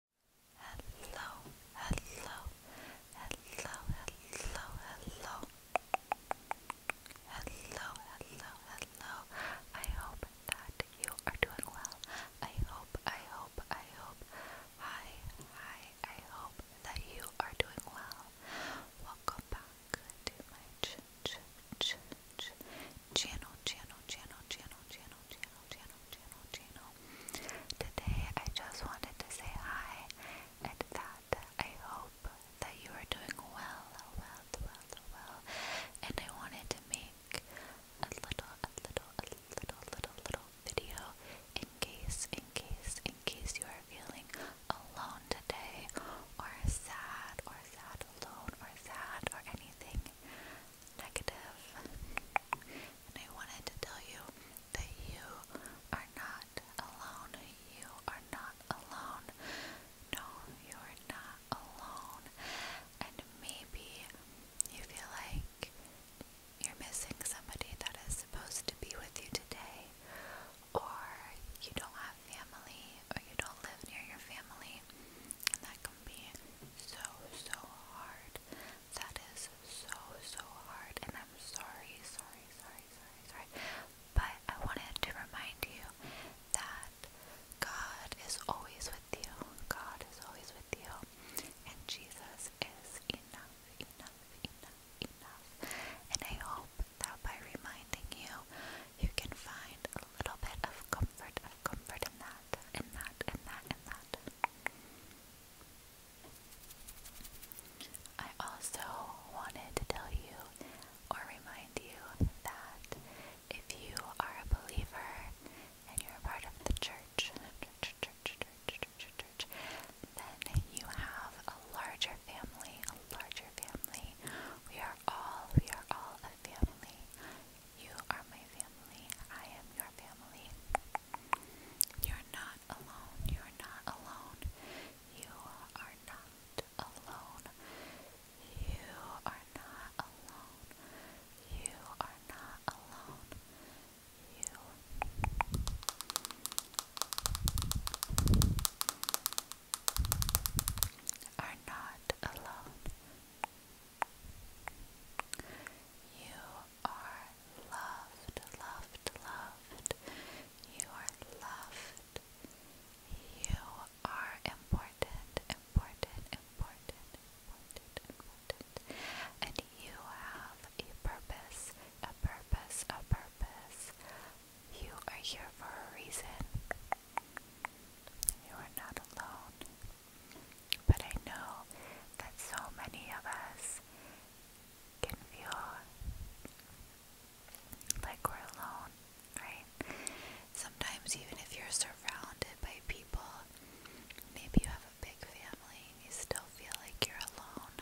hello, hello, hello, hello, hello, hello, hello, hello. I hope that you are doing well. I hope, I hope, I hope. Hi, hi. I hope that you are doing well. Welcome back to my ch channel, channel, channel, channel, channel channel, channel, channel, channel. Today I just wanted to say hi and that I hope that you are doing well, well, well, well. And I wanted to make a little, a little, a little, little, little video in case, in case, in case you are feeling alone today or sad or sad alone or sad or anything negative. And I wanted to tell you that you are not alone. You are not alone. No, you are not alone. And maybe you feel like you're missing somebody that is supposed to be with you today, or you don't have family, or you don't live near your family and that can be so so hard. That is so so hard, and I'm sorry, sorry, sorry, sorry, sorry. But I wanted to remind you that God is always with you. God is always with you, and Jesus is enough, enough, enough, enough. And I hope that by reminding you, you can find a little bit of comfort, of comfort in that, in that, in that, in that. I also wanted to tell you or remind you that if you are a believer and you're part of the church, church, church, church, church, church, then you have a larger family, a larger family. We are all, we are all a family. You are my family. I am your family. You're not alone. You're not alone. You are not alone. You are not alone. You are not alone. You. Are not alone. You are loved, loved, loved. You are loved. You are important, important, important, important, important. And you have a purpose, a purpose, a purpose. You are here for a reason. You are not alone. But I know that so many of us can feel like we're alone, right? Sometimes, even if you're surrounded by people, maybe you have a big family and you still feel like you're alone.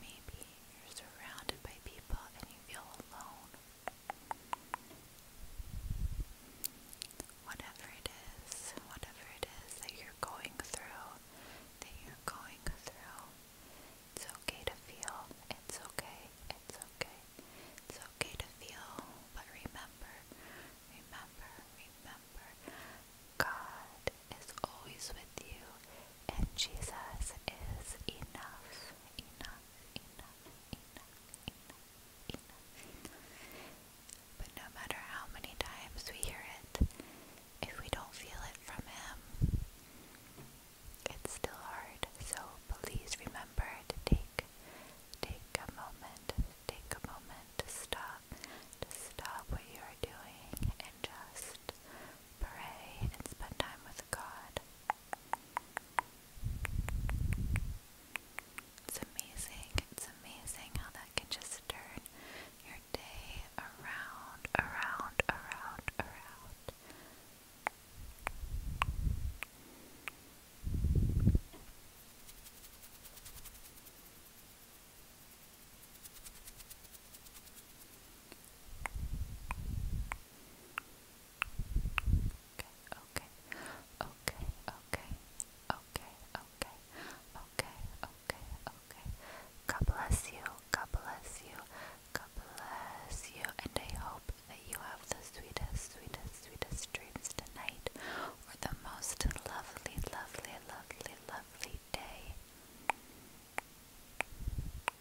Maybe you're surrounded by people and you feel alone. Whatever it is, whatever it is that you're going through, that you're going through, it's okay to feel. It's okay. It's okay. It's okay to feel. But remember, remember, remember, God is always with you, and Jesus is enough. Enough enough, But no matter how many times we hear it, if we don't feel it from him, it's still hard. So please remember to take take a moment, take a moment to stop, to stop what you are doing and just pray and spend time with God. It's amazing, it's amazing how that can just turn your day around, around, around, around. Good okay, okay, okay, okay, okay, okay, okay, okay. God bless you, God bless you, God bless you, and I hope that you have the sweetest, sweetest, sweetest dreams tonight, or the most lovely, lovely, lovely, lovely day.